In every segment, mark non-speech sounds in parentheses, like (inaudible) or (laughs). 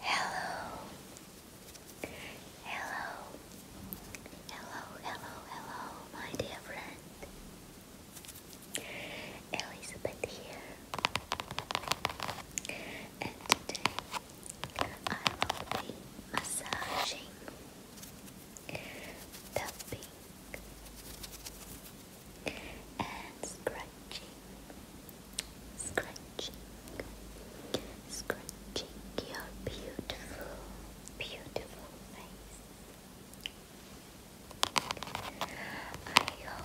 Hello. Hello. Hello, hello, hello, my dear friend. Elizabeth here. And today I will be massaging the pink and scratching, scratching, scratching your beautiful, beautiful face. I hope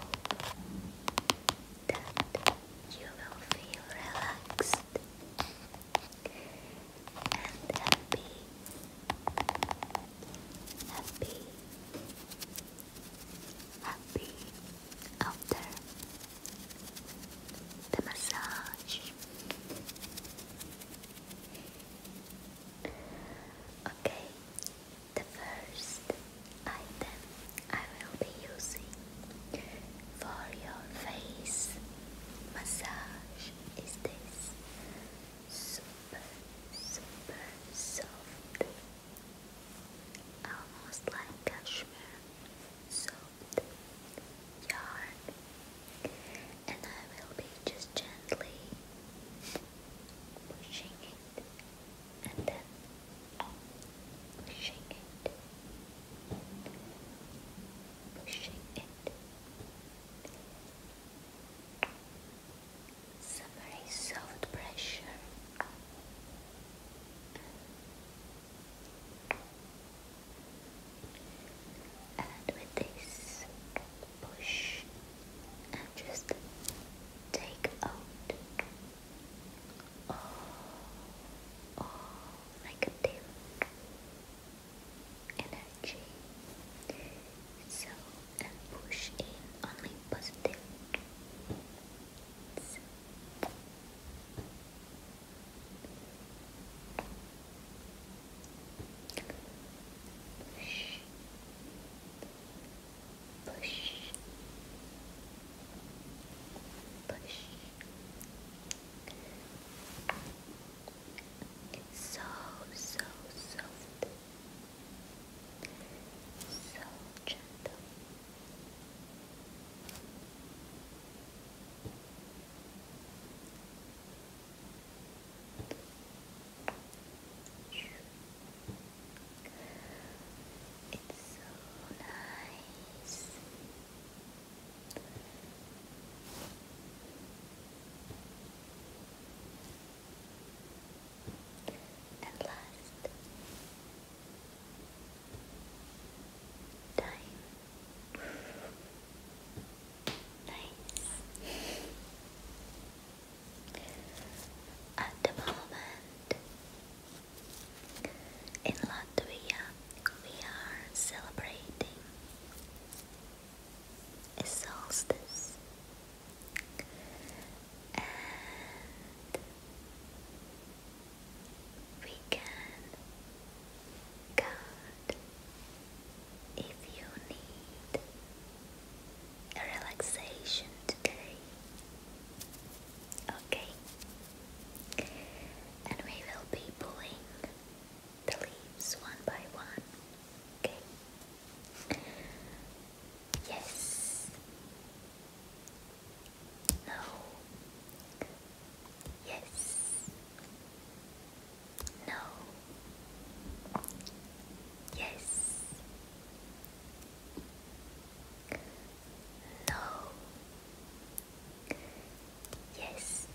that you will feel relaxed and happy, happy, happy after the massage. Okay, the first item I will be using for your face massage is this super, super soft almost like cashmere soft yarn, and I will be just gently pushing it and then pushing it, pushing it very soft pressure. And with this, push and just take out all, oh, all oh, negative energy. So and push in only positive. Push. Push. Push. so, so soft. So gentle. It's so nice. And last, time. nice. At the moment, in Latvia, we are celebrating a solstice we can count if you need a relaxation today. Okay, and we will be pulling the leaves one by one. Okay. Yes. No. Yes. No. Yes. No. Yes.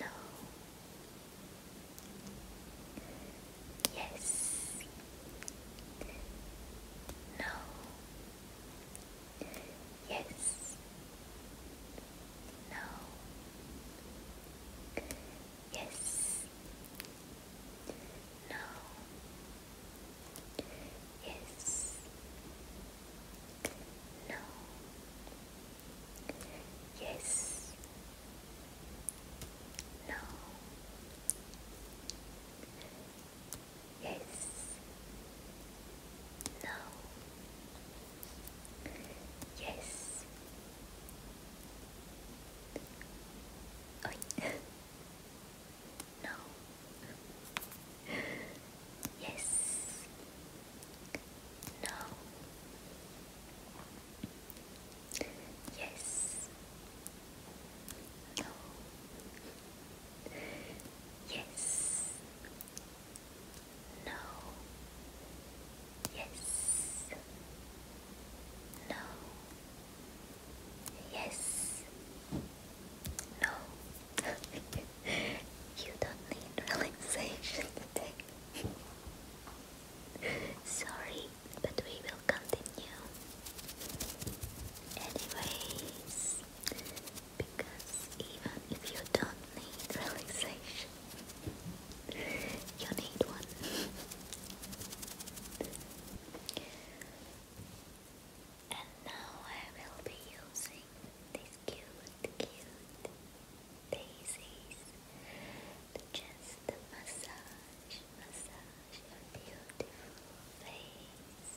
No. Yes. No. Yes. No. Yes. No. Yes. No. Yes. No. Yes. No. Yes. Oh. no. Yes. No. Yes. No. Yes. No. Yes. No. Yes. No. (laughs) you don't need relaxation today. (laughs) Sorry, but we will continue. Anyways, because even if you don't need relaxation, you need one. and now I will be using this cute, cute daisies to just massage, massage your beautiful face.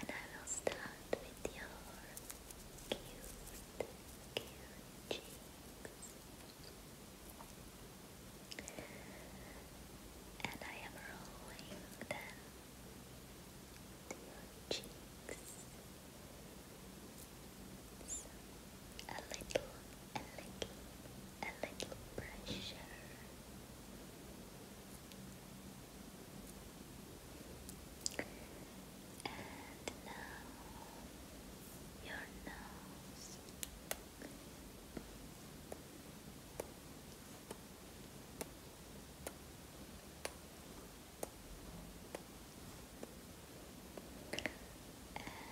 And I will start with your cute, cute cheeks. And I am rolling them your cheeks so, a little, a little, a little pressure. And now Your nose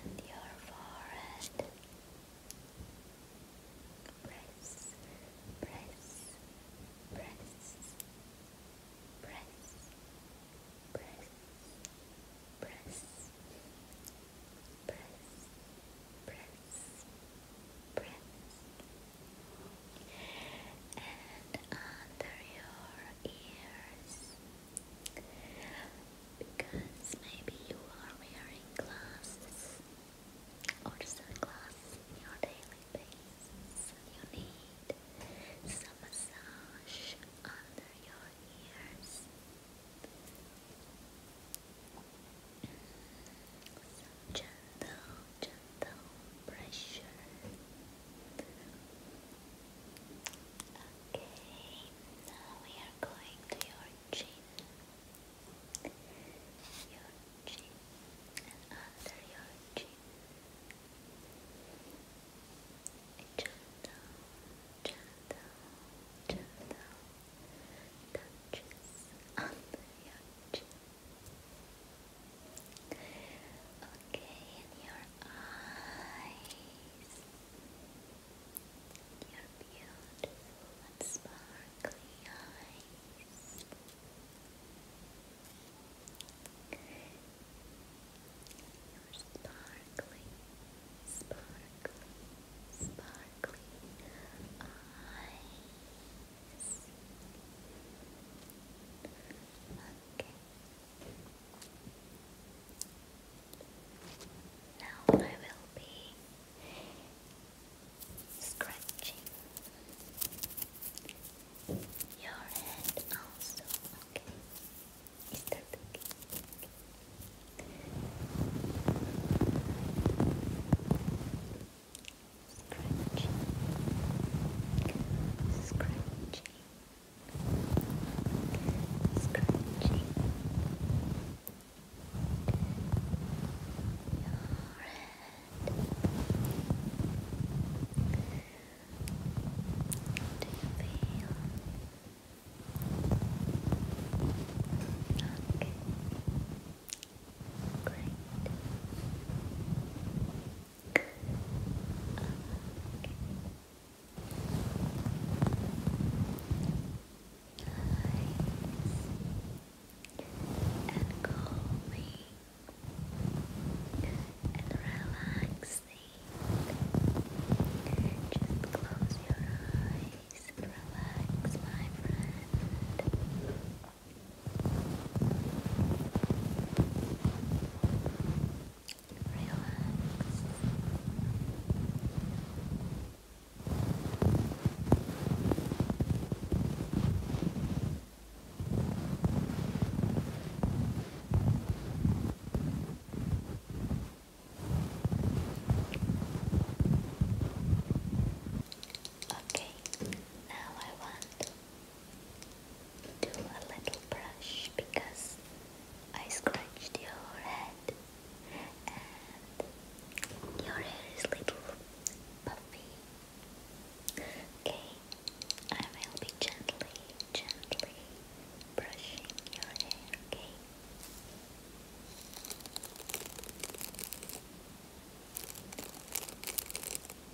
and your forehead. Press, press, press, press, press, press, press, press, press, and under your ears because maybe you are wearing glasses or sunglasses in your daily basis. You need some massage under your ears. Some gentle, gentle pressure Okay, now we are going to your chin, your chin, and under your chin, gentle, gentle, gentle touches under your chin. Okay, your eyes. Your beautiful sparkly eyes. Your sparkly, sparkly, sparkly eyes. Okay. Now I will be scratching your head also, okay? Scratching, scratching, Scratching your head. Do you feel okay? Great and calming and relaxing. Just close your eyes relax, my friend. Okay, now I want do a little brush because I scratched your head and your hair is little puffy. Okay, I will be gently, gently brushing your hair, okay?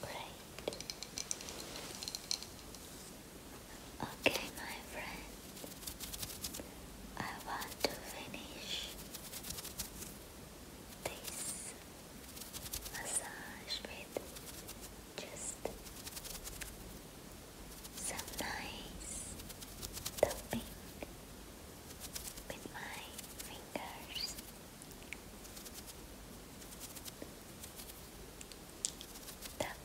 Great. Okay, my friend. I want to finish face massage with just some nice tapping with my fingers. tap,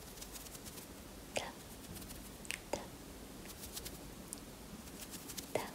tap, tap, tap,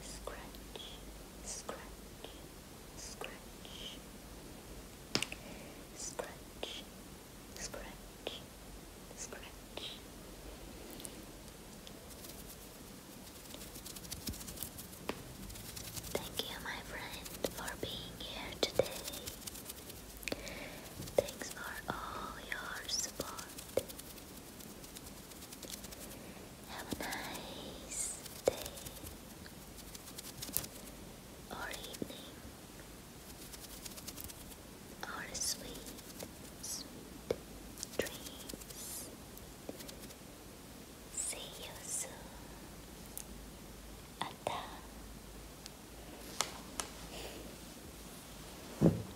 scratch, scratch, scratch, scratch, scratch, scratch. Thank you, my friend, for being here today. Thanks for all your support. Have a nice day or evening or sweet, sweet dreams. See you soon. Ata.